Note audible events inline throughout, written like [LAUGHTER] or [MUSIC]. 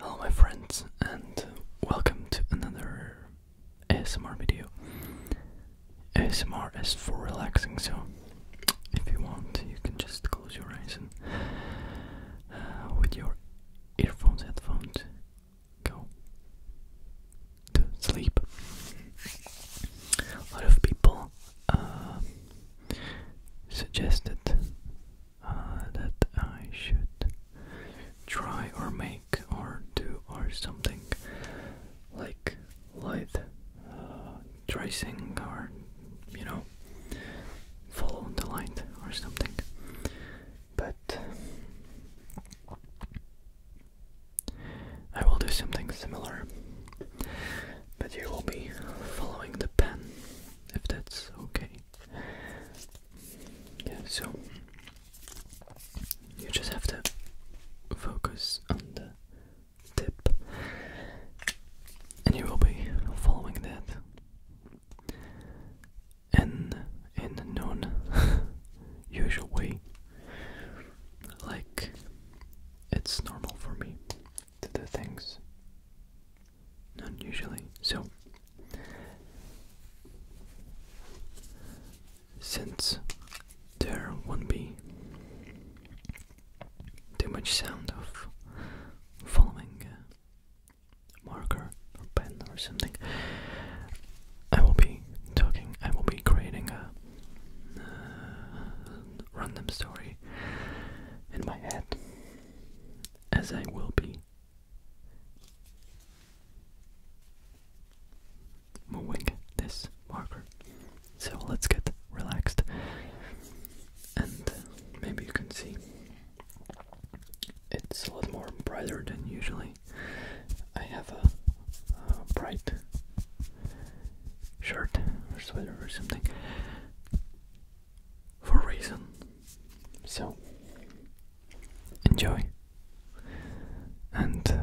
Hello my friends and welcome to another ASMR video. ASMR is for relaxing so if you want you can just close your eyes and uh, with your earphones, headphones go to sleep. A lot of people uh, suggested uh, that I should try or make or do or something like light uh, tracing or you know follow the line or something but I will do something similar but you will be following the pen if that's okay yeah, so you just have to focus on the tip, and you will be following that. And in known [LAUGHS] usual way, like it's normal for me to do things None usually. So, since there won't be too much sound of following a marker or pen or something, I will be talking, I will be creating a uh, random story in my head as I will be. Moving this marker. So let's get relaxed, and maybe you can see it's a lot more brighter than usually. I have a, bright shirt or sweater or something, for a reason. So, enjoy and uh,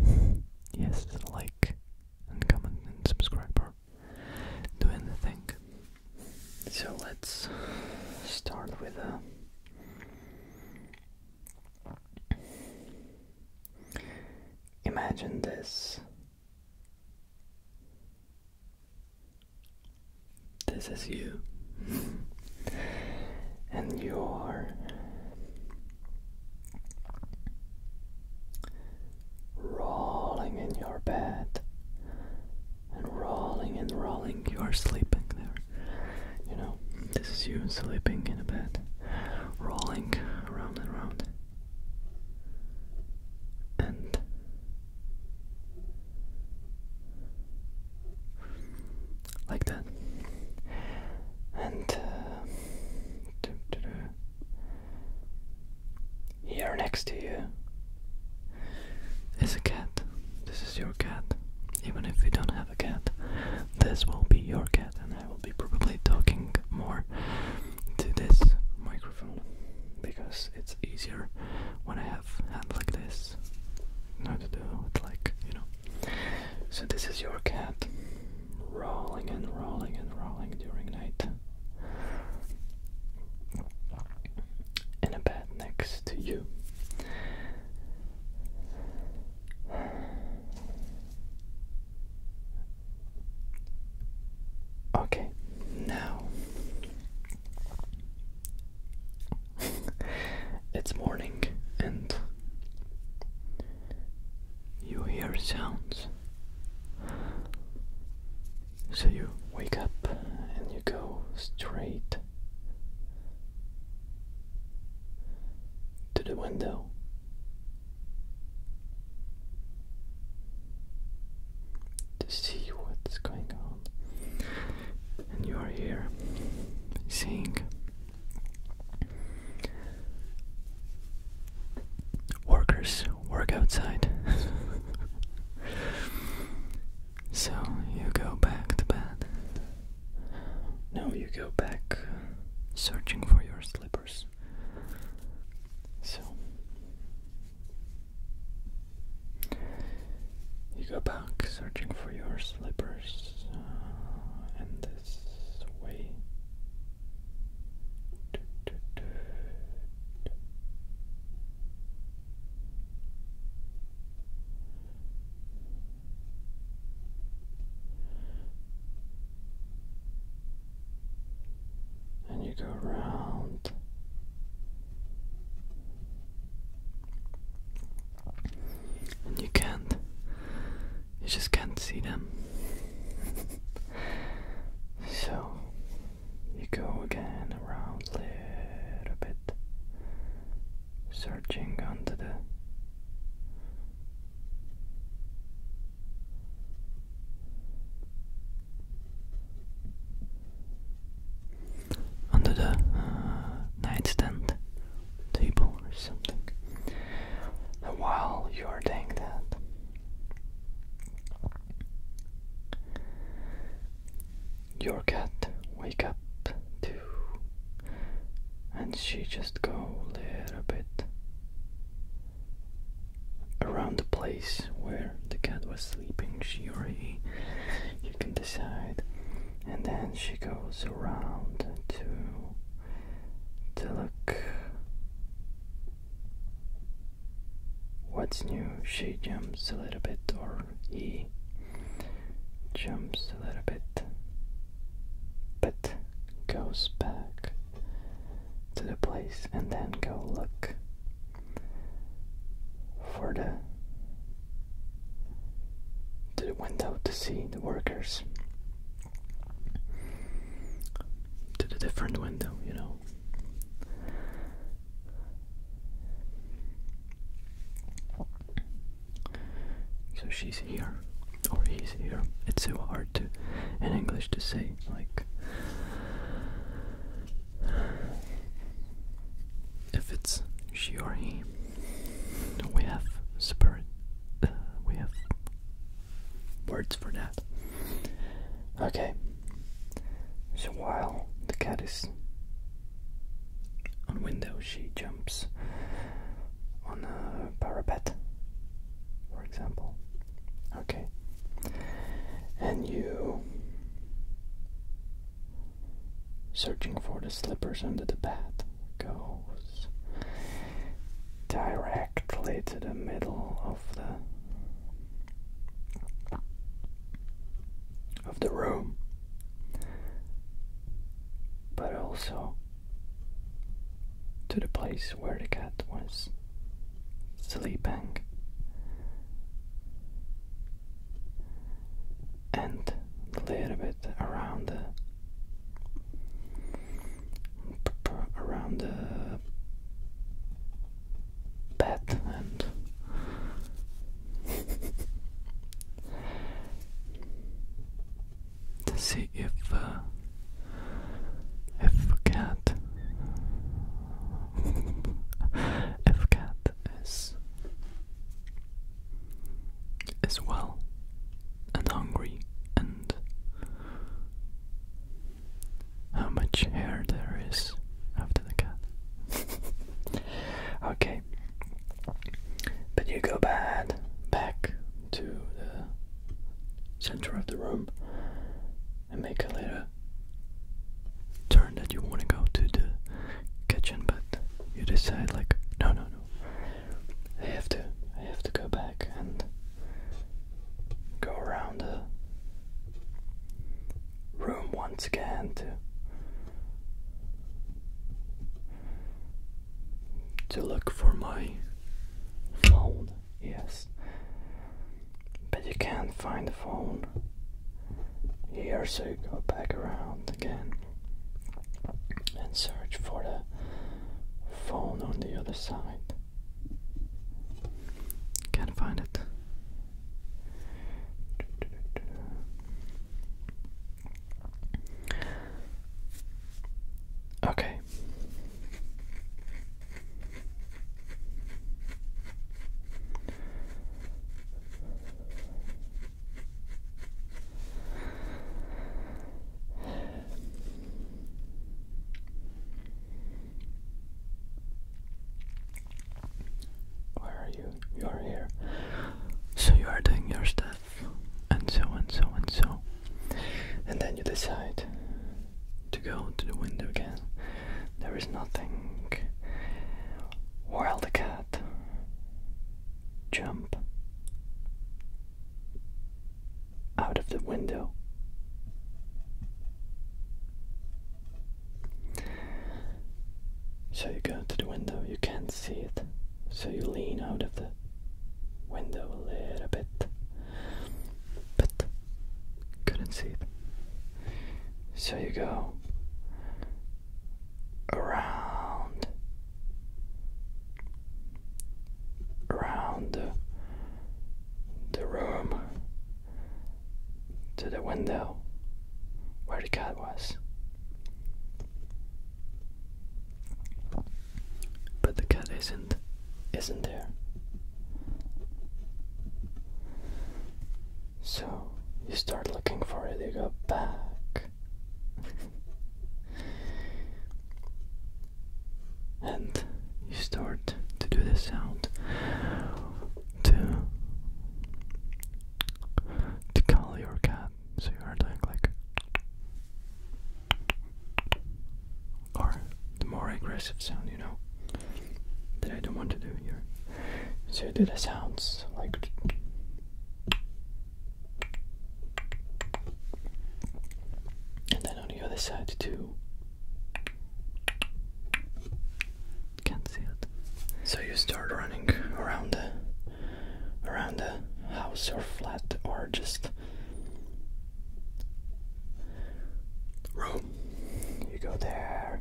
And yes, like and comment and subscribe or do anything. So, let's start with a. Uh, imagine this this is you, [LAUGHS] and you are rolling in your bed and rolling and rolling. You are sleeping there, you know. This is you sleeping in a bed, rolling around and around and like that and uh, here next to you is a cat this is your cat even if you don't have a cat this will be your cat and I will be probably talking more to this microphone because it's easier when I have hand like this. Not to do it like, you know. So this is your cat rolling and rolling and rolling during night. In a bed next to you. Okay, now [LAUGHS] it's morning and you hear sounds. So you wake up and you go straight to the window to see what's going on. And you are here seeing workers work outside. [LAUGHS] so you go back to bed. No, you go back uh, searching for your slippers. So you go back searching for your slippers, uh, this way and you go around. And you can't, you just can't see them. [LAUGHS] so you go again around a little bit, searching under the under the uh, nightstand table or something. while you are doing that, your cat wake up too, and she just go a little bit around the place where the cat was sleeping, she or he, you can decide. And then she goes around to, to look what's new. She jumps a little bit, or he jumps a little bit, but goes back to the place and then go look for the the window to see the workers to the different window, you know. So she's here or easier. It's so hard to in English to say like if it's she or he. We have spirit. Uh, we have words for that. Okay. So while the cat is on window, she jumps on a parapet for example. Okay. And you searching for the slippers under the bed goes directly to the middle of the of the room but also to the place where the cat was sleeping. And a little bit around the around the bed and [LAUGHS] to see if uh, if cat if cat is is well and hungry and how much hair there is after the cat. [LAUGHS] okay. But you go back back to the center of the room and make a little turn that you want to go to the kitchen, but you decide like, no, no, no, I have to, I have to go back and go around the room once again to to look for my phone, yes. But you can't find the phone here, so you go back around again and search for the phone on the other side. Can't find it. Okay. Where are you? You are here. So you are doing your stuff and so and so and so. And then you decide to go to the window again. There is nothing. Wildcat, jump out of the window. So you go to the window, you can't see it. So you lean out of the window a little bit, but couldn't see it. So you go around, around the room to the window where the cat was. But the cat isn't isn't there. So you start looking for it, you go back. [LAUGHS] and you start to do the sound to to call your cat so you heard like like or the more aggressive sound you know that I don't want to do here. So you do the sounds like and then on the other side too. Can't see it. So you start running around the around the house or flat or just room. You go there,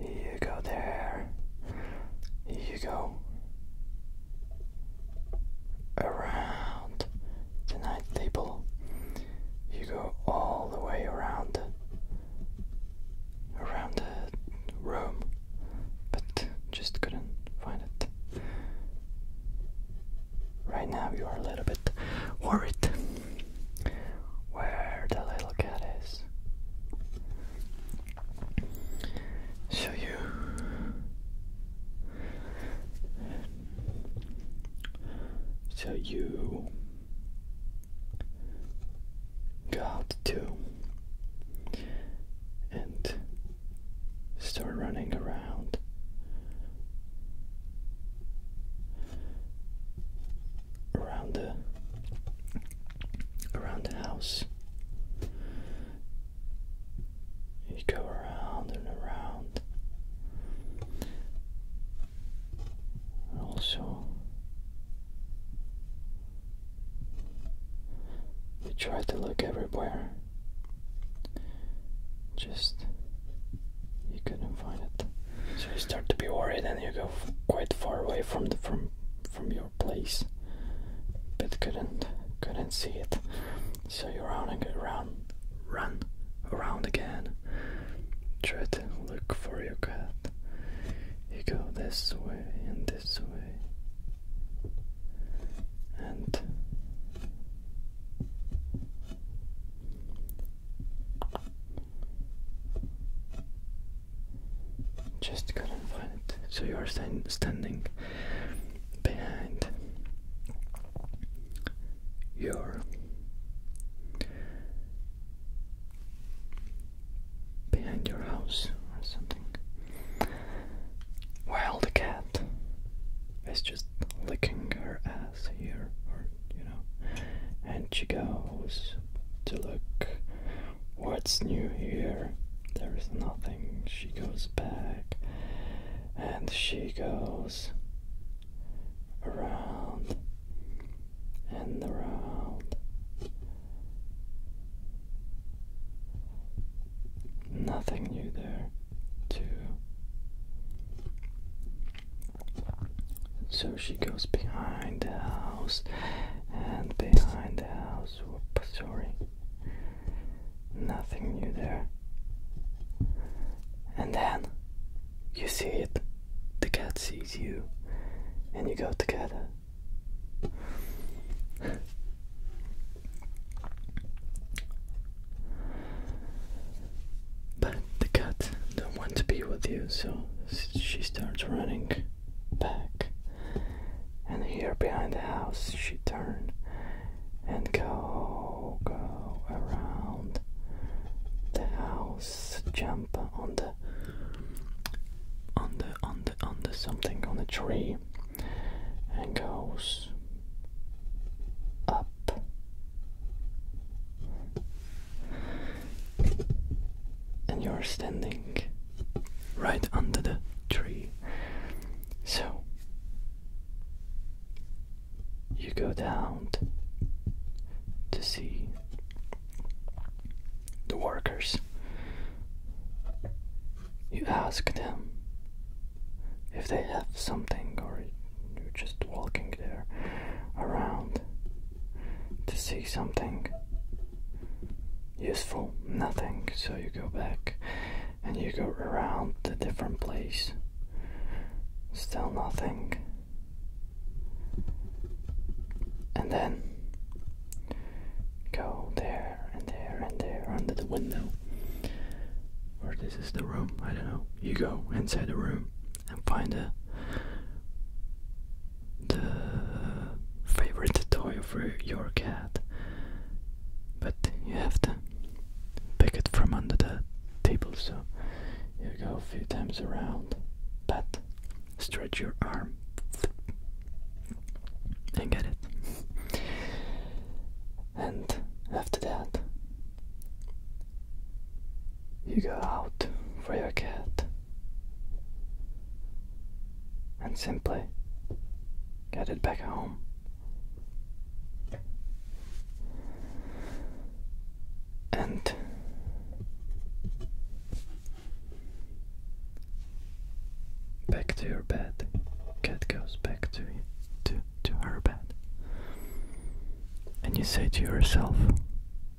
you go there, you go around the night table. You go all the way around around the room, but just couldn't find it. Right now, you are a little bit worried where the little cat is. So you so you got to and start running around. Around the around the house, you go around and around. also, you try to look everywhere. Just you couldn't find it. So you start to be worried and you go quite far away from the from from your place. But couldn't couldn't see it. So you run and run run around again. Try to look for your cat. You go this way and this way and just couldn't find it. So you are stand standing behind your behind your house or something. While the cat is just licking her ass here, or you know, and she goes to look what's new here. There is nothing. She goes back and she goes around and around Nothing new there, too. So she goes behind the house and behind the house. Whoop, sorry. Nothing new there. And then you see it. The cat sees you, and you go together. But the cat don't want to be with you, so she starts running back. And here behind the house, she turn and go, go around the house, jump on the on the on the on the something on the tree and goes up. And you're standing right under the tree. So you go down to see the workers you ask them if they have something, or you're just walking there around to see something useful, nothing. So you go back and you go around the different place, still nothing. And then go there and there and there under the window. Or this is the room, I don't know. You go inside the room and find the, the favorite toy for your cat. But you have to pick it from under the table, so you go a few times around, pat, stretch your arm and get it. And after that, you go out for your cat and simply get it back home. And Back to your bed. Cat goes back to to to her bed. And you say to yourself,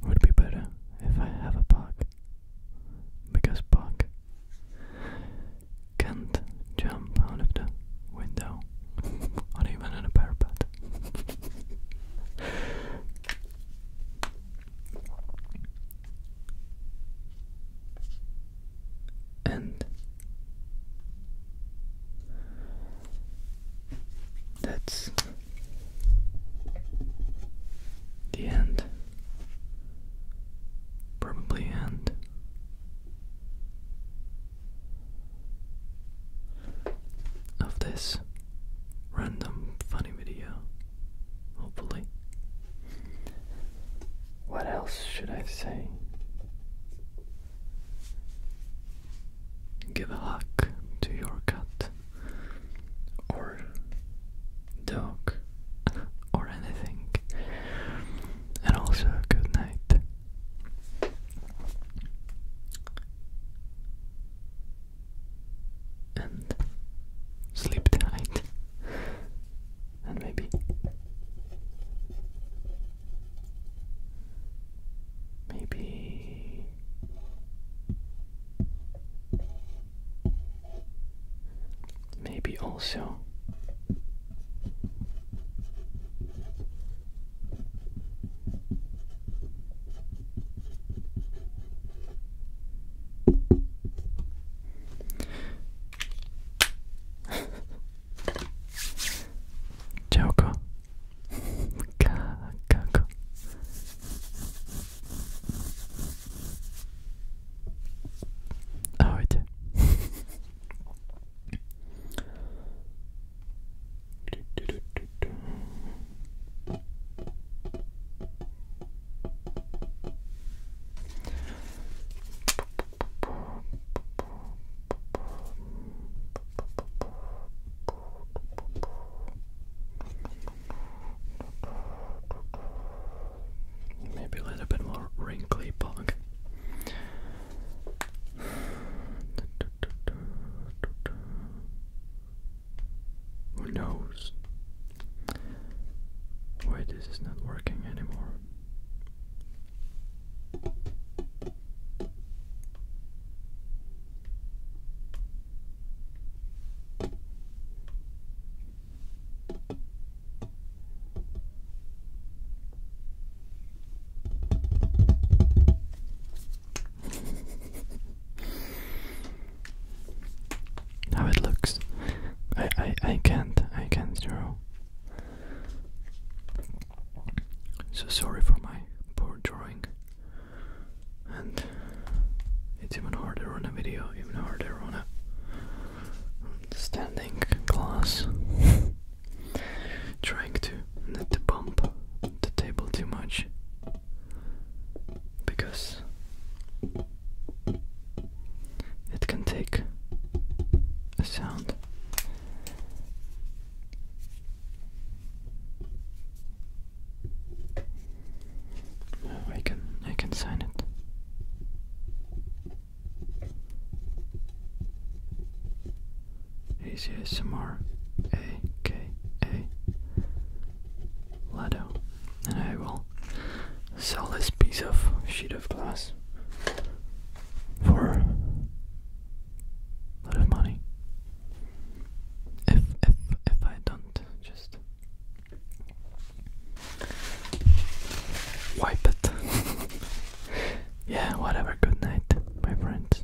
would be better if I have a pug. Because pug can't jump out of the window [LAUGHS] or even on a parapet and that's the end. Probably end. Of this random funny video, hopefully. What else should I say? Give a hug to your cat or dog or anything, and also good night and sleep tonight and maybe maybe maybe also ちゃうかかかかあおいてルルルルル Maybe a little bit more wrinkly bug. Who knows? Why this is not working anymore? how it looks. I I I can't I can't draw. So sorry for my poor drawing. And it's even harder on a video, even harder on a standing glass. [LAUGHS] Trying to not to bump the table too much because it can take a sound oh, I can I can sign it ACSMR ladder, and I will sell this piece of sheet of glass for a lot money. If if if I don't just wipe it. [LAUGHS] yeah, whatever. Good night, my friends.